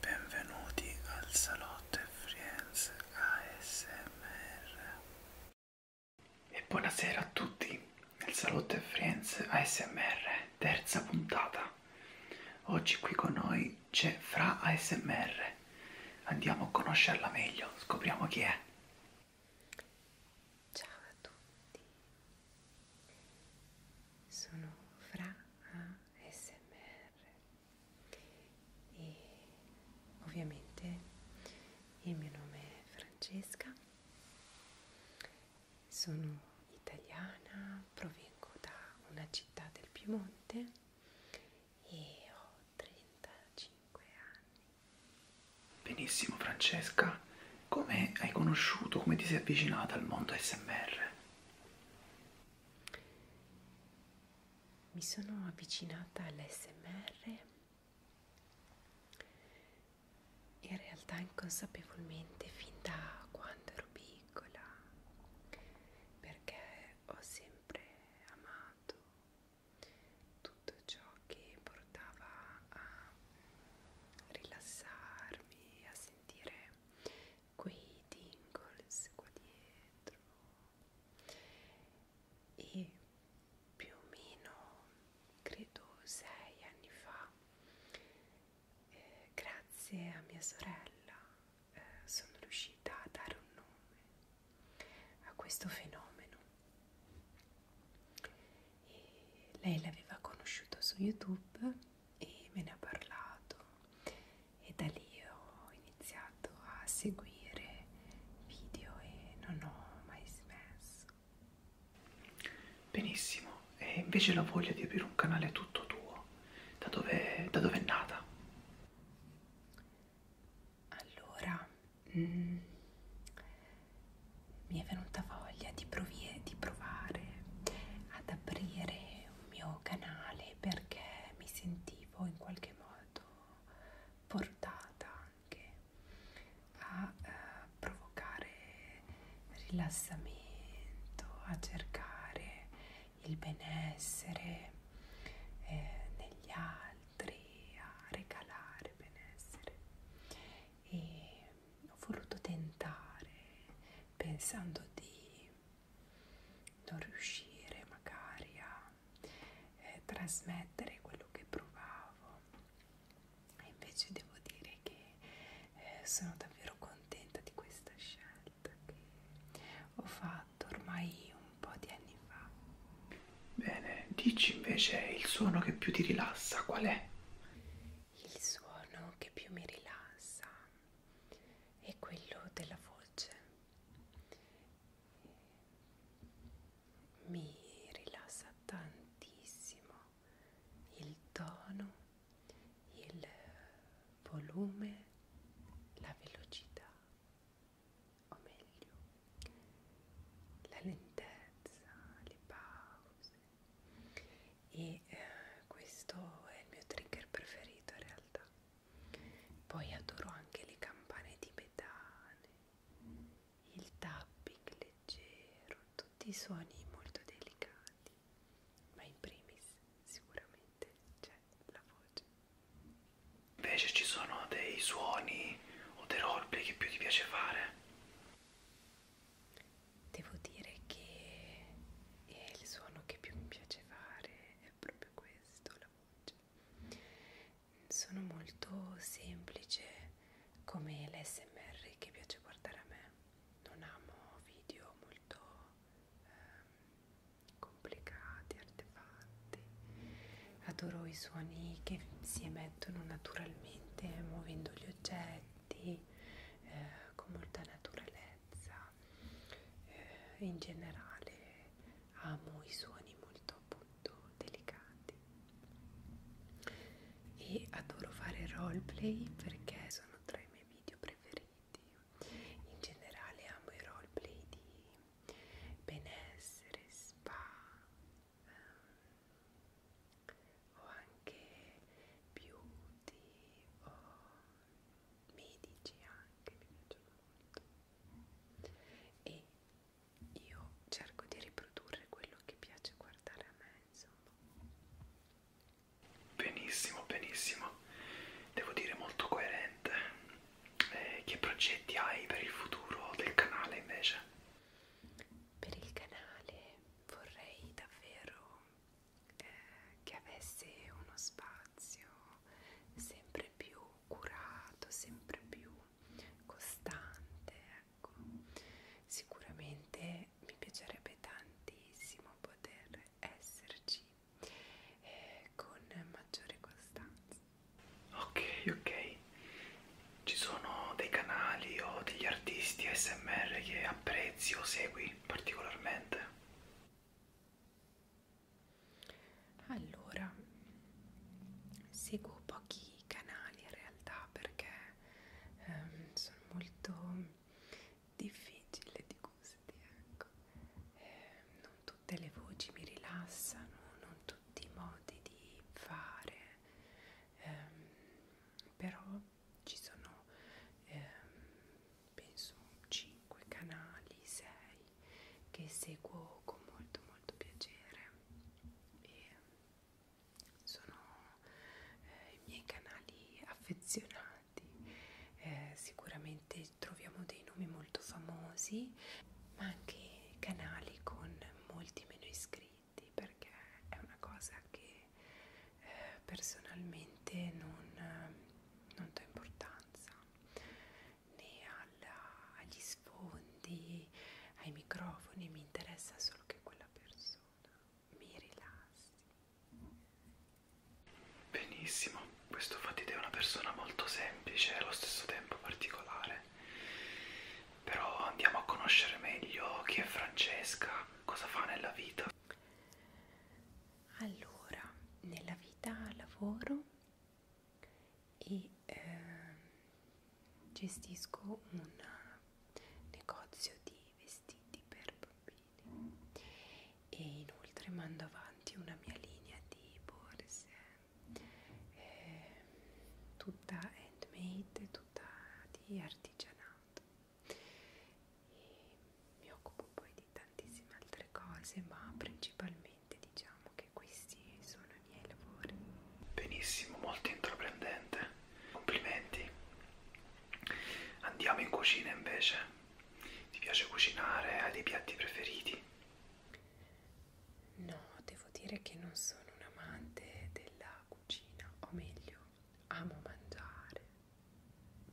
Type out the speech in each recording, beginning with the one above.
Benvenuti al Salotto Friends ASMR. E buonasera a tutti nel Salotto Friends ASMR, terza puntata. Oggi qui con noi c'è Fra ASMR. Andiamo a conoscerla meglio, scopriamo chi è. Ciao a tutti. Sono Fra ASMR e ovviamente il mio nome è Francesca, sono italiana, provengo da una città del Piemonte e ho 35 anni. Benissimo Francesca, come hai conosciuto, come ti sei avvicinata al mondo SMR? Mi sono avvicinata all'SMR in realtà inconsapevolmente fin da quando ero piccola perché ho sempre amato tutto ciò che portava a rilassarmi, a sentire quei tingles qua dietro e più o meno credo sei anni fa eh, grazie a mia sorella eh, sono riuscita a dare un nome a questo fenomeno e lei l'aveva conosciuto su YouTube e me ne ha parlato e da lì ho iniziato a seguire video e non ho mai smesso. Benissimo, e invece la voglia di aprire un canale tutto tuo, da dove, da dove è nata? Allora, mh, mm, mi è venuta voglia di, provie, di provare ad aprire un mio canale perché mi sentivo in qualche modo portata anche a eh, provocare rilassamento, a cercare il benessere eh, negli altri, a regalare benessere e ho voluto tentare pensando di non riuscire magari a eh, trasmettere quello che provavo e invece devo dire che eh, sono davvero contenta di questa scelta che ho fatto ormai un po' di anni fa bene dici invece il suono che più ti rilassa qual è il suono che più mi rilassa è quello della voce mi rilassa tantissimo il tono il volume la velocità o meglio la lentezza le pause e eh, questo è il mio trigger preferito in realtà poi adoro anche le campane tibetane il tapping leggero tutti i suoni molto delicati ma in primis sicuramente c'è la voce invece ci sono dei suoni o dei roleplay che più ti piace fare Devo dire che il suono che più mi piace fare è proprio questo, la voce. Sono molto semplice come l'SMR che piace guardare a me. Non amo video molto ehm, complicati, artefatti adoro i suoni che si emettono naturalmente muovendo gli oggetti eh, con molta naturalezza eh, in generale amo i suoni molto appunto delicati e adoro fare roleplay perché sono tra i miei video preferiti in generale amo i roleplay di benessere, spa um, o anche beauty o oh, medici anche mi piacciono molto e io cerco di riprodurre quello che piace guardare a me insomma benissimo benissimo devo dire molto coerente eh, che progetti hai per il futuro del canale invece per il canale vorrei davvero eh, che avesse uno spazio sempre più curato, sempre più costante, ecco. Sicuramente mi piacerebbe tantissimo poter esserci eh, con maggiore costanza Ok, ok. Ci sono dei canali o degli artisti ASMR che apprezzi o segui particolarmente? Allora, seguo pochi canali in realtà perché ehm, sono molto difficile di gusti, ecco. Eh, non tutte le voci mi rilassano, non tutti i modi di fare, ehm, però ci sono ehm, penso 5 canali, 6 che seguo con molto molto piacere e sono eh, i miei canali affezionati. Eh, sicuramente troviamo dei nomi molto famosi ma anche canali con molti meno iscritti perché è una cosa che eh, personalmente non, non do importanza né alla, agli sfondi, ai microfoni, mi interessa solo che quella persona mi rilassi. Benissimo, questo fatite è una persona molto semplice e allo stesso tempo particolare però andiamo a conoscere meglio chi è Francesca, cosa fa nella vita. Allora, nella vita lavoro e eh, gestisco un negozio di vestiti per bambini e inoltre mando avanti una mia linea di borse eh, tutta handmade, tutta di artigianato. E mi occupo poi di tantissime altre cose, ma principalmente diciamo che questi sono i miei lavori. Benissimo, molto intraprendente. Complimenti. Andiamo in cucina invece. Ti piace cucinare? Hai dei piatti preferiti? No, devo dire che non sono un amante della cucina, o meglio, amo mangiare,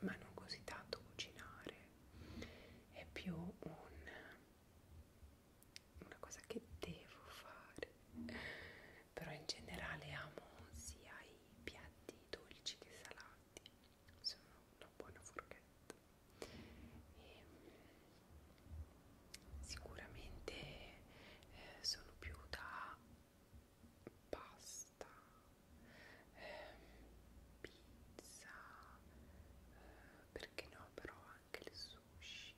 ma non così tanto cucinare. È più un, una cosa che devo fare, però in generale amo sia i piatti dolci che salati. Sono una buona forchetta e sicuramente eh, sono più da pasta eh, pizza eh, perché no però anche il sushi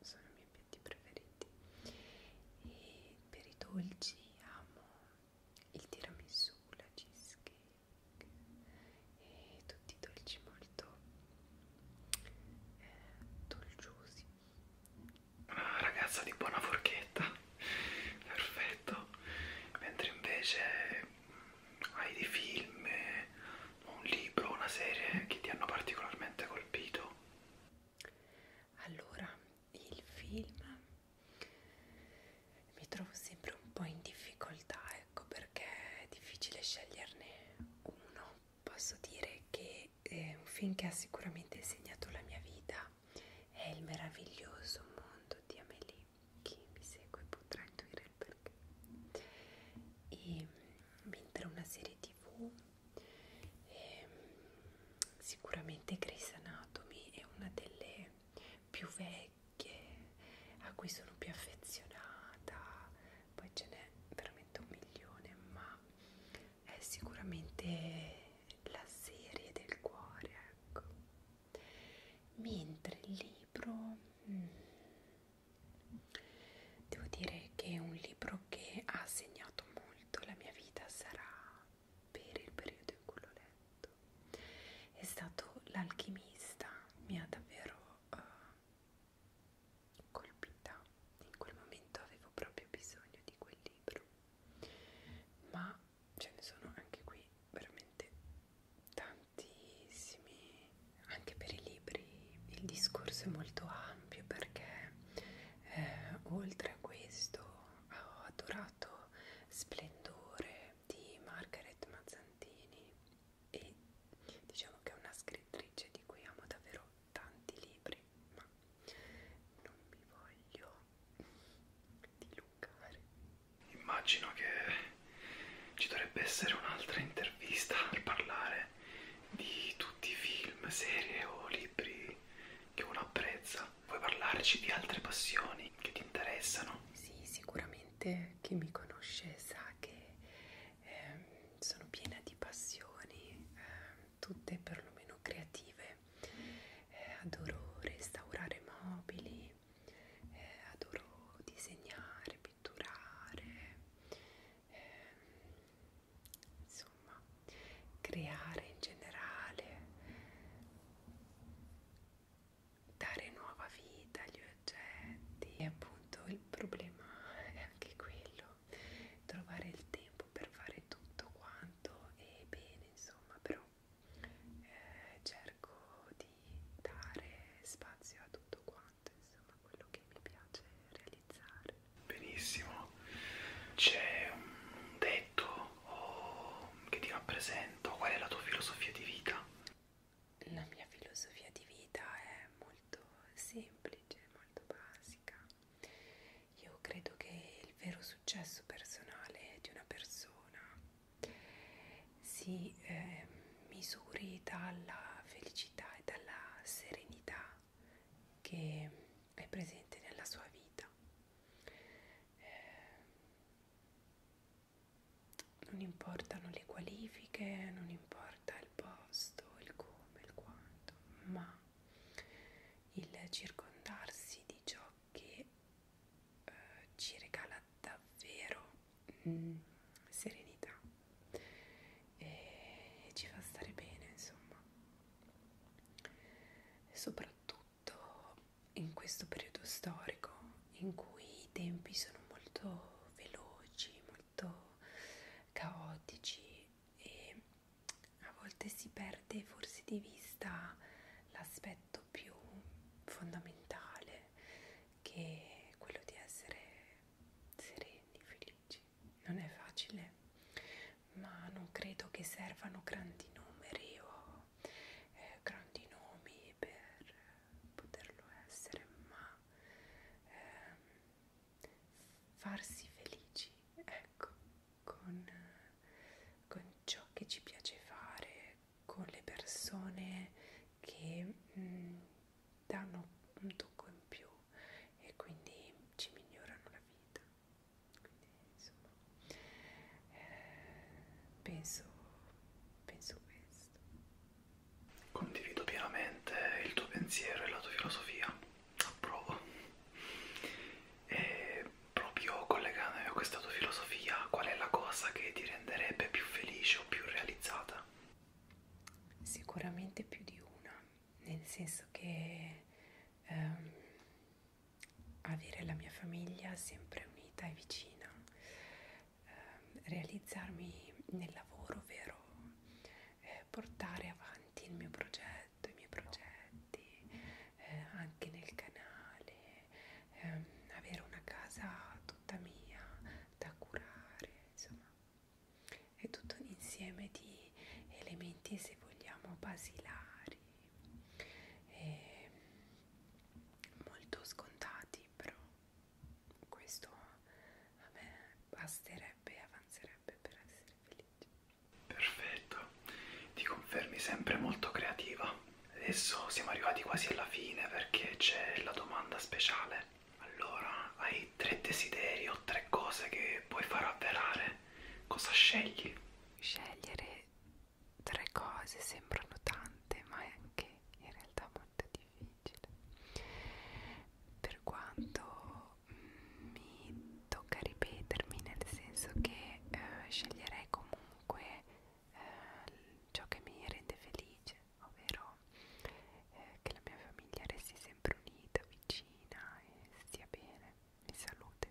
sono i miei piatti preferiti e per i dolci amo il tiramisù, la cheesecake e tutti i dolci molto eh, dolciosi una ragazza di buona forchetta perfetto mentre invece mm, hai dei film un libro una serie che ti hanno particolarmente colpito allora il film mi trovo sempre un po' in difficoltà, ecco perché è difficile sceglierne uno. Posso dire che eh, un film che ha sicuramente segnato la mia vita è Il meraviglioso mondo di Amélie. Chi mi segue potrà intuire il perché. E, mentre una serie tv e, ehm, sicuramente Grey's Anatomy è una delle più vecchie che, a cui sono più affezionata, poi ce n'è veramente un milione, ma è sicuramente la serie del cuore, ecco. Mentre il libro, mm, devo dire che è un libro che ha segnato molto la mia vita, sarà per il periodo in cui l'ho letto ricordo è stato l'alchimista mi ha davvero uh, colpita in quel momento avevo proprio bisogno di quel libro ma ce ne sono anche qui veramente tantissimi anche per i libri il discorso è molto ampio perché eh, oltre a questo ho adorato Splendore di Margaret Mazzantini e diciamo che è una scrittrice di cui amo davvero tanti libri, ma non mi voglio dilungare. Immagino che ci dovrebbe essere un'altra intervista per parlare di tutti i film, serie o libri che uno apprezza Vuoi parlarci di altre passioni che ti interessano? Sì, sicuramente chi mi conosce sa che eh, sono piena di passioni, eh, tutte perlomeno creative. Eh, adoro restaurare mobili, eh, adoro disegnare, pitturare, eh, insomma, creare in generale dare nuova vita agli oggetti e appunto il problema è anche quello trovare il tempo per fare tutto quanto e bene insomma però eh, cerco di dare spazio a tutto quanto insomma quello che mi piace realizzare benissimo c'è un detto oggetto o che ti rappresenta? Qual è la tua filosofia di vita? La mia filosofia di vita è molto semplice, molto basica. Io credo che il vero successo personale di una persona si eh, misuri dalla felicità e dalla serenità che è presente nella sua vita. Eh, non importano le qualifiche, non importa il posto, il come, il quanto, ma il circondarsi di ciò che eh, ci regala davvero mm, serenità e ci fa stare bene, insomma, e soprattutto soprattutto in questo periodo storico in cui i tempi sono molto veloci, molto caotici e a volte si perde forse di vista l'aspetto più fondamentale che è quello di essere sereni, felici. Non è facile ma non credo che servano grandi numeri o oh. eh, grandi nomi per poterlo essere, ma eh, farsi felici, ecco, con, con ciò che ci piace fare, con le persone che mh, mm, danno un tocco in più e quindi ci migliorano la vita quindi insomma eh, penso, penso questo condivido pienamente il tuo pensiero e la tua filosofia approvo e proprio collegandomi a questa tua filosofia qual è la cosa che ti renderebbe più felice o più realizzata? sicuramente più di una nel senso che ehm, avere la mia famiglia sempre unita e vicina, eh, realizzarmi nel lavoro, ovvero eh, portare avanti il mio progetto, i miei progetti, eh, anche nel canale, eh, avere una casa tutta mia da curare, insomma, è tutto un insieme di elementi, se vogliamo, basilari e molto scontati però questo a me basterebbe e avanzerebbe per essere felice perfetto ti confermi sempre molto creativa adesso siamo arrivati quasi alla fine perché c'è la domanda speciale allora hai tre desideri o tre cose che puoi far avverare cosa scegli scegliere tre cose sembrano tante, ma è anche in realtà molto difficile. Per quanto mm, mi tocca ripetermi, nel senso che eh, sceglierei comunque eh, ciò che mi rende felice, ovvero eh, che la mia famiglia resti sempre unita, vicina e stia bene di salute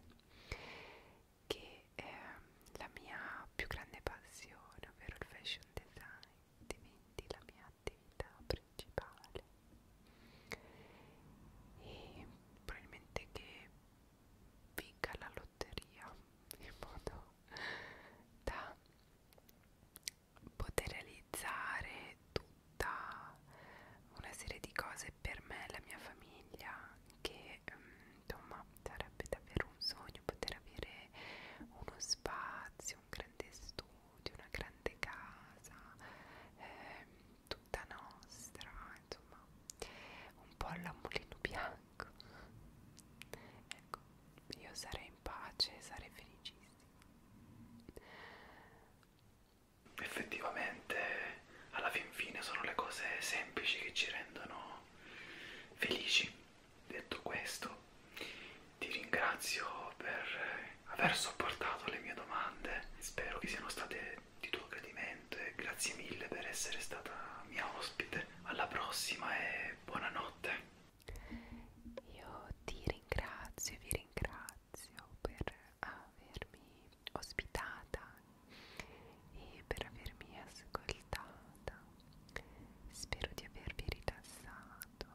che è ehm, la mia più grande passione, ovvero il fashion design, diventi la mia attività principale e probabilmente che vinca la lotteria in modo da poter realizzare tutto città, una serie di cose per me e la mia famiglia che ehm, insomma sarebbe davvero un sogno poter avere uno spazio, un grande studio, una grande casa, eh, tutta nostra, insomma un po' alla mulino bianco. Ecco, io sarei in pace, sarei felicissima effettivamente alla fin fine sono le cose semplici che ci rendono felici. Detto questo, ti ringrazio per aver sopportato le mie domande, spero che siano state di tuo gradimento e grazie mille per essere stata mia ospite. Alla prossima e buonanotte. Io ti ringrazio, vi ringrazio per avermi ospitata e per avermi ascoltata. Spero di avervi rilassato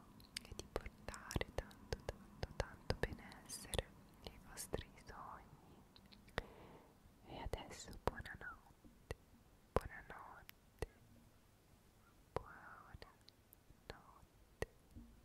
e di portare tanto, tanto, tanto benessere nei vostri sogni. E adesso buonanotte, buonanotte, buonanotte.